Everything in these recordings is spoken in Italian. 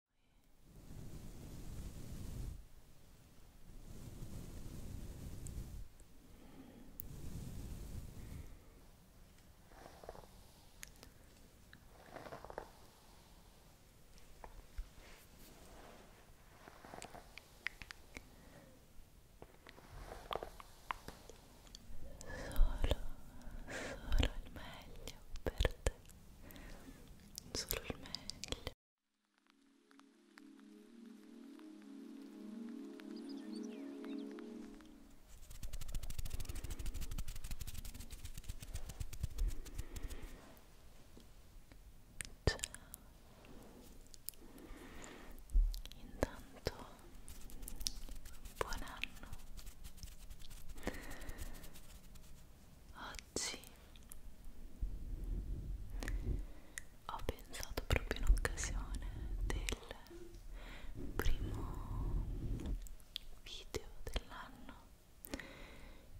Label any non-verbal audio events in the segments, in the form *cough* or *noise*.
solo il meglio per te niente solo il meglio Ciao. Intanto buon anno oggi ho pensato proprio in occasione del primo video dell'anno,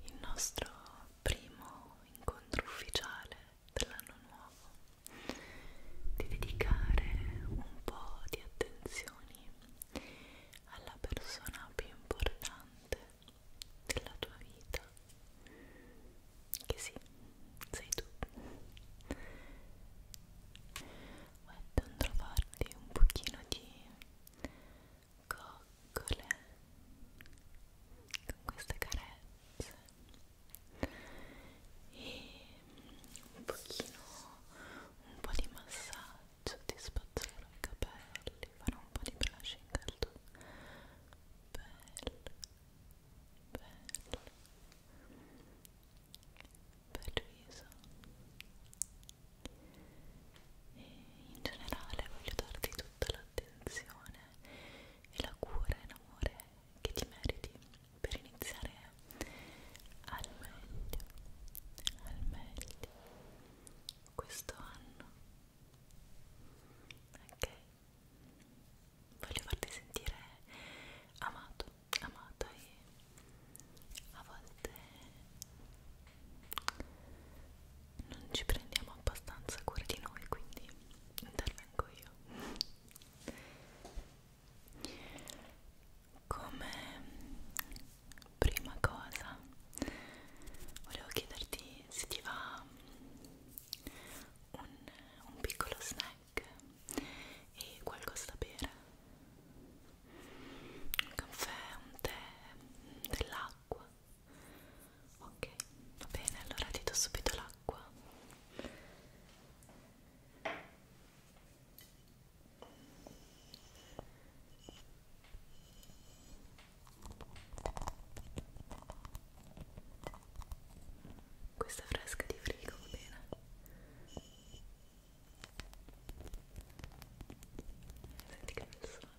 il nostro primo incontro ufficiale dell'anno nuovo, di dedicare un po' di attenzioni alla persona più importante della tua vita che sì, sei tu andrò a farti un pochino di coccole con queste carezze e un pochino un po' di massaggio soddisfazione ai capelli, farò un po' di brushing al tuo bello, bello, bel viso e in generale voglio darti tutta l'attenzione e la cura e l'amore che ti meriti per iniziare al meglio al meglio questo anno ok voglio farti sentire amato amata e a volte non ci prendiamo abbastanza cura di noi quindi intervengo io come prima cosa volevo chiederti se ti va un, un piccolo snack e qualcosa da bere un caffè, un tè, dell'acqua ok, va bene, allora ti do subito l'acqua questa fresca di frigo va bene. Senti che bel suono.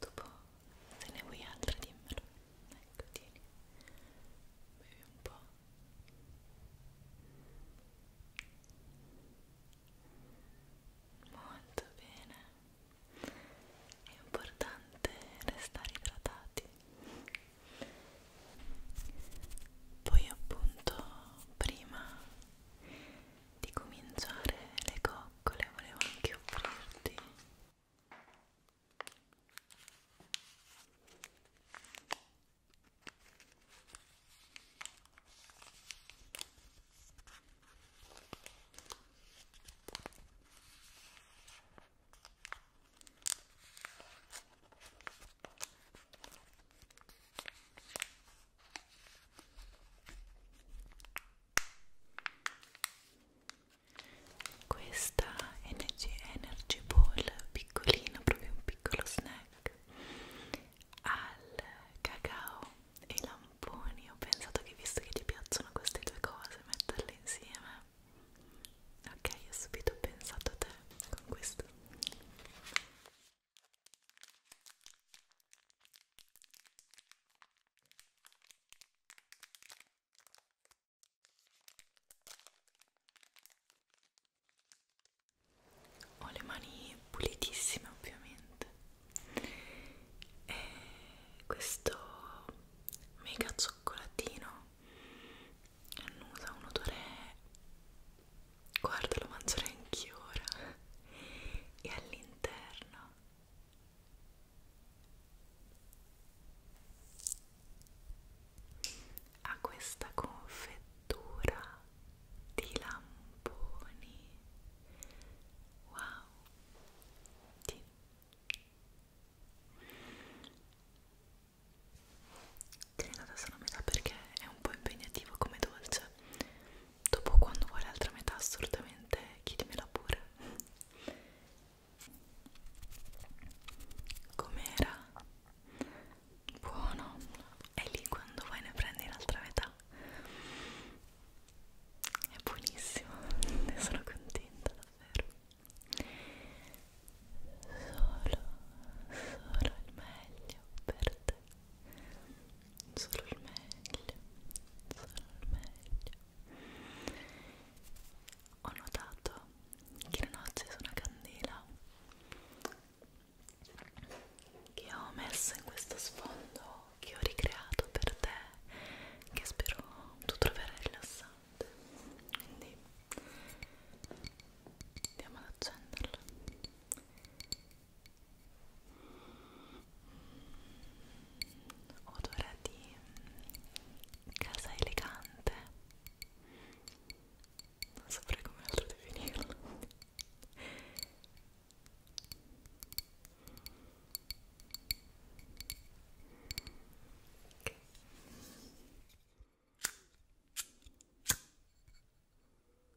dopo se ne vuoi altre dimmelo ecco tieni bevi un po' molto bene è importante restare idratati poi appunto prima di cominciare le coccole volevo anche offrirti questa Energy, energy Ball piccolina, proprio un piccolo snack al cacao e ai lamponi. Ho pensato che visto che ti piacciono queste due cose, metterle insieme. Ok, ho subito pensato a te con questo. Ho le mani pulitissime ovviamente e questo mega cioccolatino annusa un odore guarda lo mangerò anch'io ora e all'interno ha questa confettura di lamponi wow sì tagliata solo a metà perché è un po' impegnativo come dolce dopo quando vuoi l'altra metà assolutamente chiedimela pure com'era? buono e lì quando vuoi ne prendi l'altra metà è buonissimo ne sono contenta davvero solo solo il meglio per te solo il meglio, solo il meglio. Ho notato che non ho acceso una candela che ho messo in questo sfondo che ho ricreato per te che spero tu troverai rilassante quindi andiamo ad accenderlo odore di casa elegante non saprei come altro definirlo okay.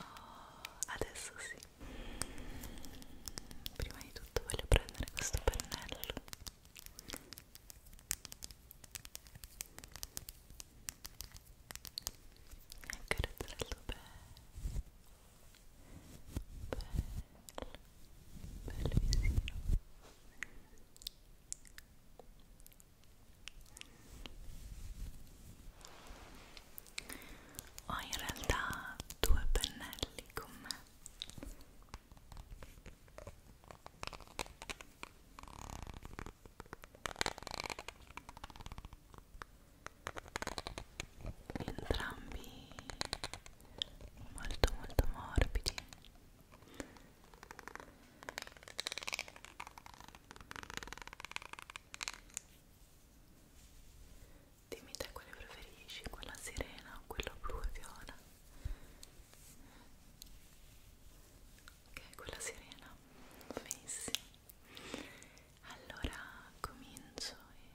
Oh, adesso sì. Prima di tutto voglio prendere questo pennello. E accarezzarlo bello. Bello, bello vicino. Ho in realtà due pennelli con me. Entrambi molto molto morbidi. Dimmi te quale preferisci, quella sirena o quella blu e viola? Ok, quella sirena, benissimo. Allora comincio e...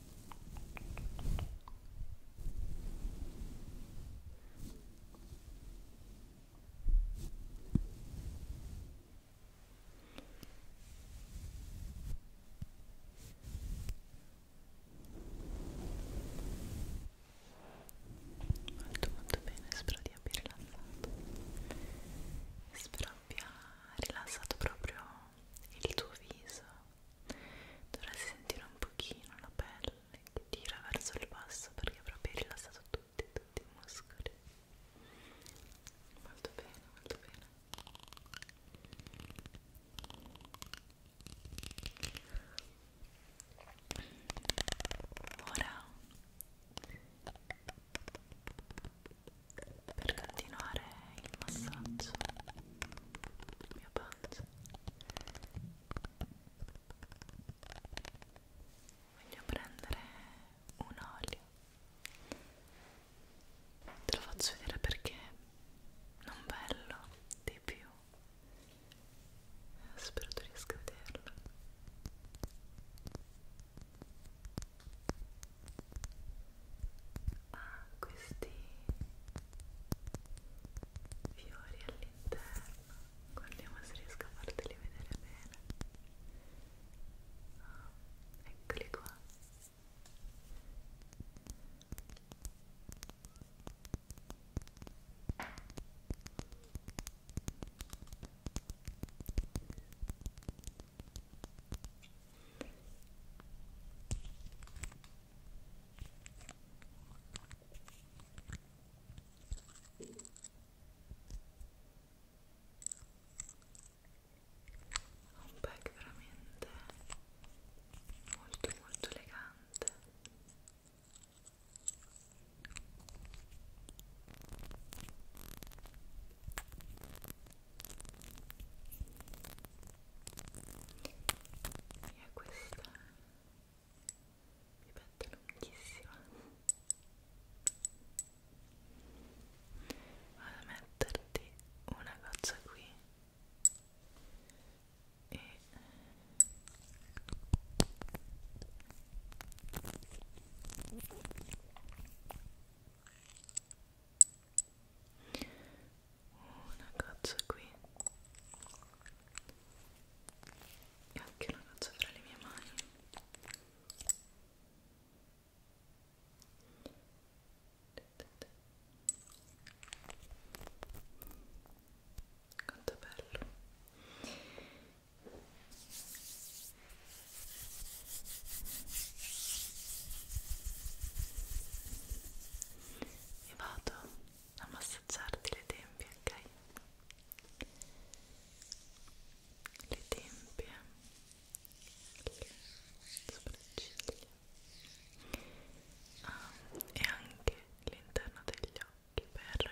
Molto molto bene, spero di avervi rilassato. Spero abbia rilassato proprio il tuo viso dovresti sentire un pochino la pelle che tira verso il basso perché proprio hai rilassato tutti, tutti i muscoli molto bene, molto bene ora per continuare il massaggio mia pancia voglio prendere un olio te lo faccio vedere perché non bello di più eh, spero tu riesca a vederlo ha ah, questi fiori all'interno guardiamo se riesco a farteli vedere bene oh, eccoli qua ha un pack veramente molto molto elegante e a questa mi metto lunghissima vado a metterti una goccia qui e una goccia qui e anche una goccia fra le mie mani quanto bello e vado a massaggiarti le tempie, ok? Le tempie, le sopracciglia ah, e anche l'interno degli occhi per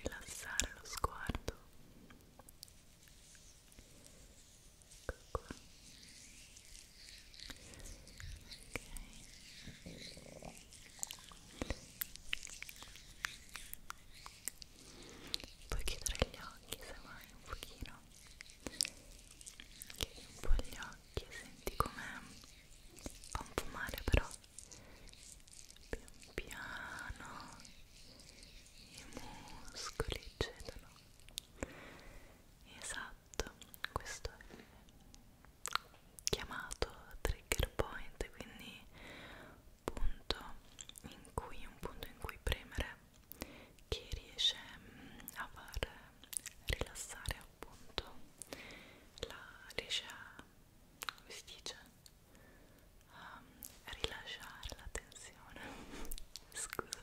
rilassare lo sguardo Puoi chiudere gli occhi se vuoi un pochino. Chiudi un po' gli occhi e senti com'è. Fa un po' male però. Pian piano i muscoli cedono esatto questo è chiamato trigger point quindi punto in cui un punto in cui premere che riesce mm, a far rilassare appunto la riesce a come si dice a rilasciare la tensione *laughs* scusami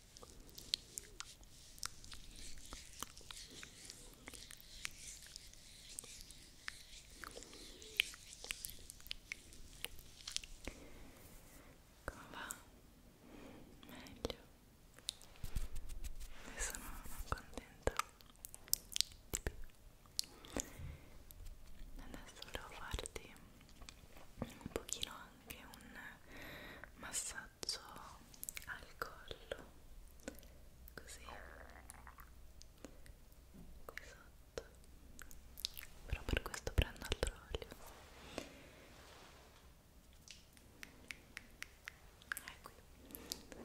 Come va? Meglio. E sono contenta. Adesso volevo farti un pochino anche un massaggio massaggio al collo così qui sotto però per questo prendo altro olio è qui ok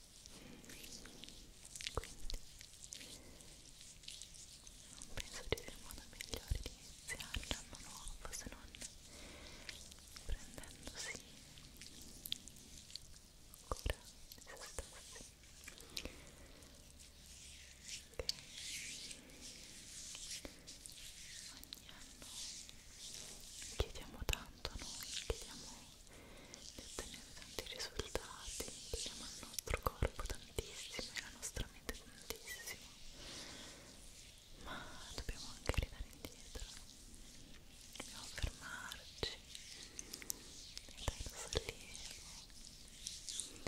quindi non penso di avere modo migliore di iniziare l'anno nuovo se non prendendosi cura di se stessi che ogni anno chiediamo tanto noi, chiediamo di ottenere tanti risultati, diamo al nostro corpo tantissimo e alla nostra mente tantissimo, ma dobbiamo anche ridare indietro, dobbiamo fermarci e dare lo sollievo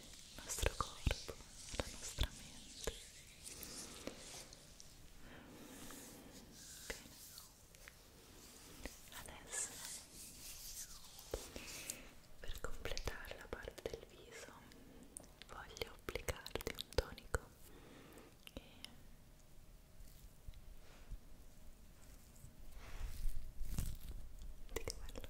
al nostro corpo, alla nostra mente. Bene adesso per completare la parte del viso voglio applicarti un tonico che Guardi che bello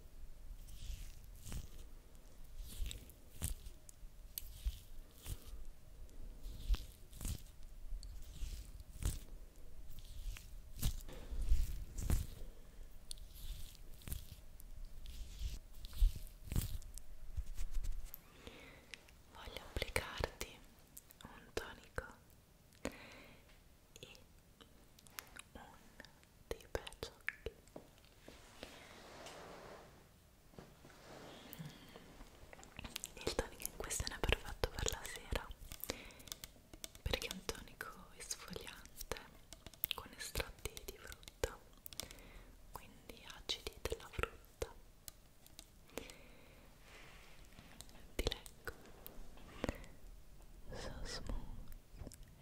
Voglio applicarti un tonico e un dei baciocchi il tonico in questione è perfetto per la sera perché è un tonico esfoliante con estratti di frutta quindi acidi della frutta ti leggo so smooth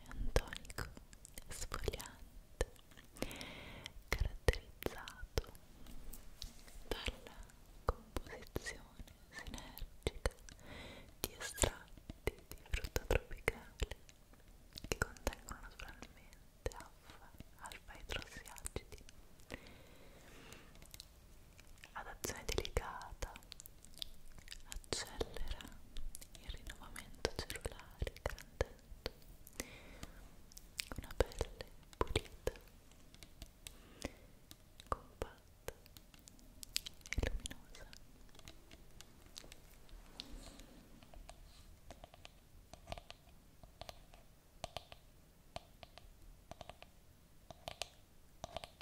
è un tonico sfogliante caratterizzato dalla composizione sinergica di estratti di frutta tropicale che contengono naturalmente alfa, alfa idrossiacidi ad azione delicata accelera il rinnovamento cellulare garantendo una pelle pulita, compatta e luminosa. Ora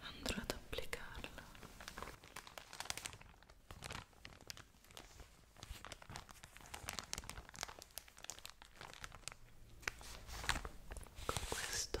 andrò ad applicarla con questo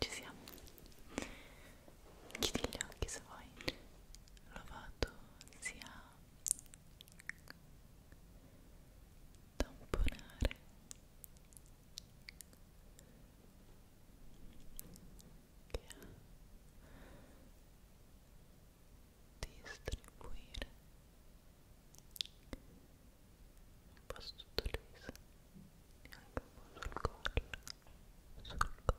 Ci siamo. Chiudi gli occhi se vuoi. Lovato sia tamponare distribuire un po' sottolesa e anche un po' sul collo sul collo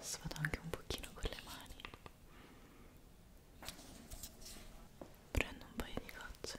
Adesso vado anche un pochino con le mani prendo un paio di gocce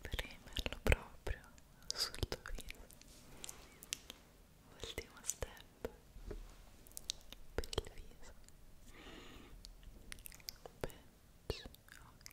premerlo proprio sul torino ultimo step per il viso Bench, ok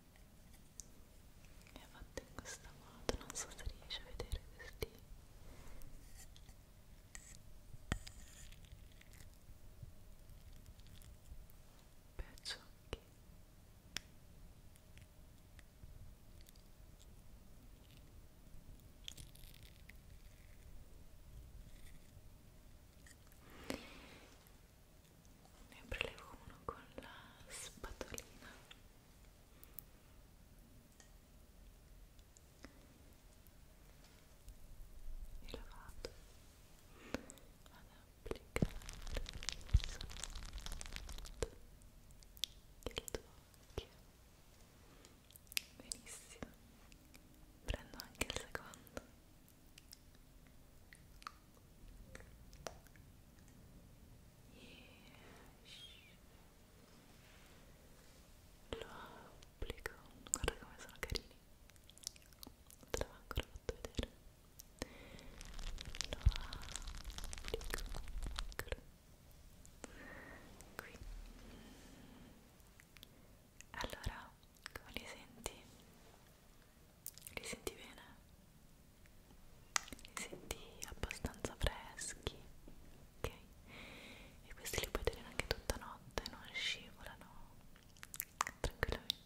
è fatto in questo modo, non so se riesci a vedere questi pezzacchi ne prelevo uno con la spatolina e la vado ad applicare sotto il tuo occhio benissimo prendo anche il secondo lo applico, guarda come sono carini, non te l'avevo ancora fatto vedere. Lo applico qui. Allora, come li senti? Li senti bene? Li senti abbastanza freschi, ok? E questi li puoi tenere anche tutta notte, non scivolano tranquillamente.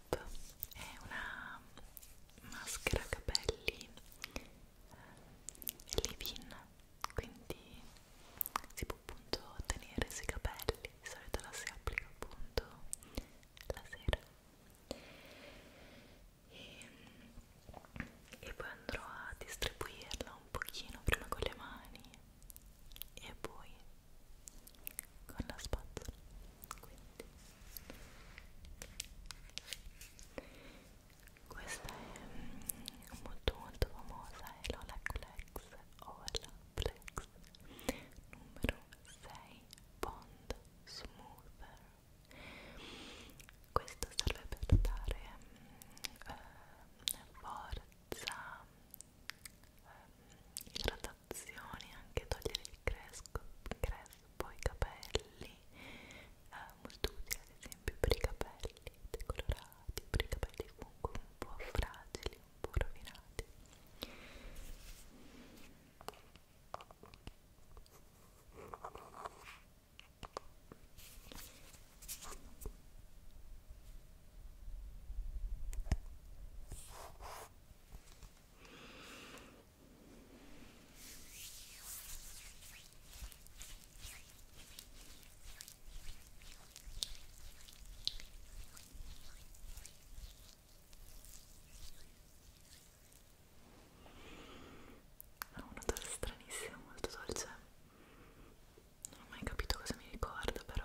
Up è una maschera capelli eh, leave-in, quindi si può appunto tenere sui capelli, di solito la si applica appunto la sera e, e poi andrò a distribuirla un pochino prima con le mani e poi con la spazzola quindi questa è mm, molto molto famosa è l'Olaplex Olaplex numero 6 Bond Smoother questo serve per dare mm, eh, forza, eh, mm, idratazione lavorazioni, anche togliere il crespo, crespo i capelli, è eh, molto utile ad esempio per i capelli decolorati, per i capelli comunque un po' fragili, un po' rovinati ha un odore stranissimo, molto dolce non ho mai capito cosa mi ricorda però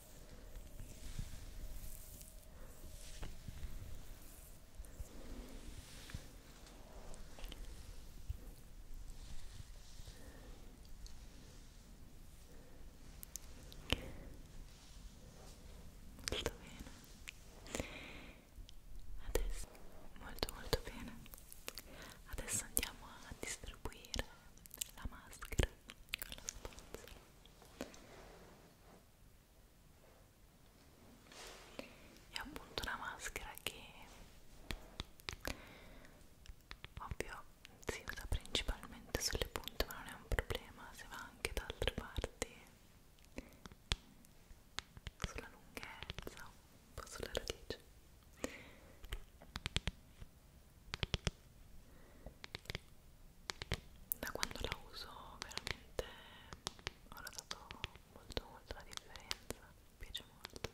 Molto bene. Adesso molto molto bene. Adesso andiamo a distribuire la maschera con lo spazio è appunto una maschera che ovvio si usa principalmente sulle punte ma non è un problema se va anche da altre parti sulla lunghezza un po' sulla radice da quando la uso veramente ho notato molto molto la differenza mi piace molto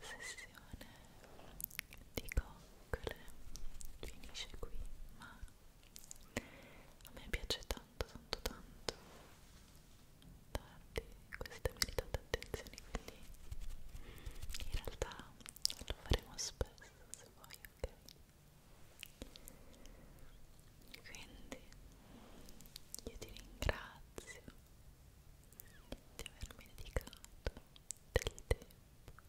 sessione di coccole finisce qui, ma a me piace tanto, tanto, tanto darvi queste meritate attenzioni, quindi in realtà lo faremo spesso se vuoi, ok? Quindi io ti ringrazio di avermi dedicato del tempo e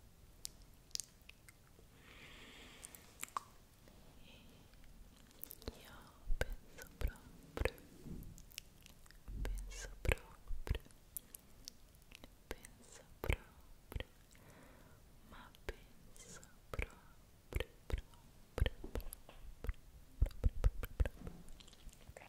io penso proprio penso proprio penso proprio ma penso proprio proprio proprio proprio proprio proprio Ok,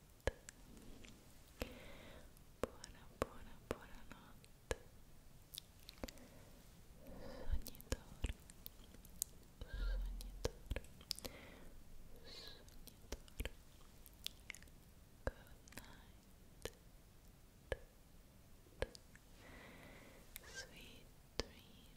notte buona buona buona notte sognatore sognatore sognatore good night sweet dreams sweet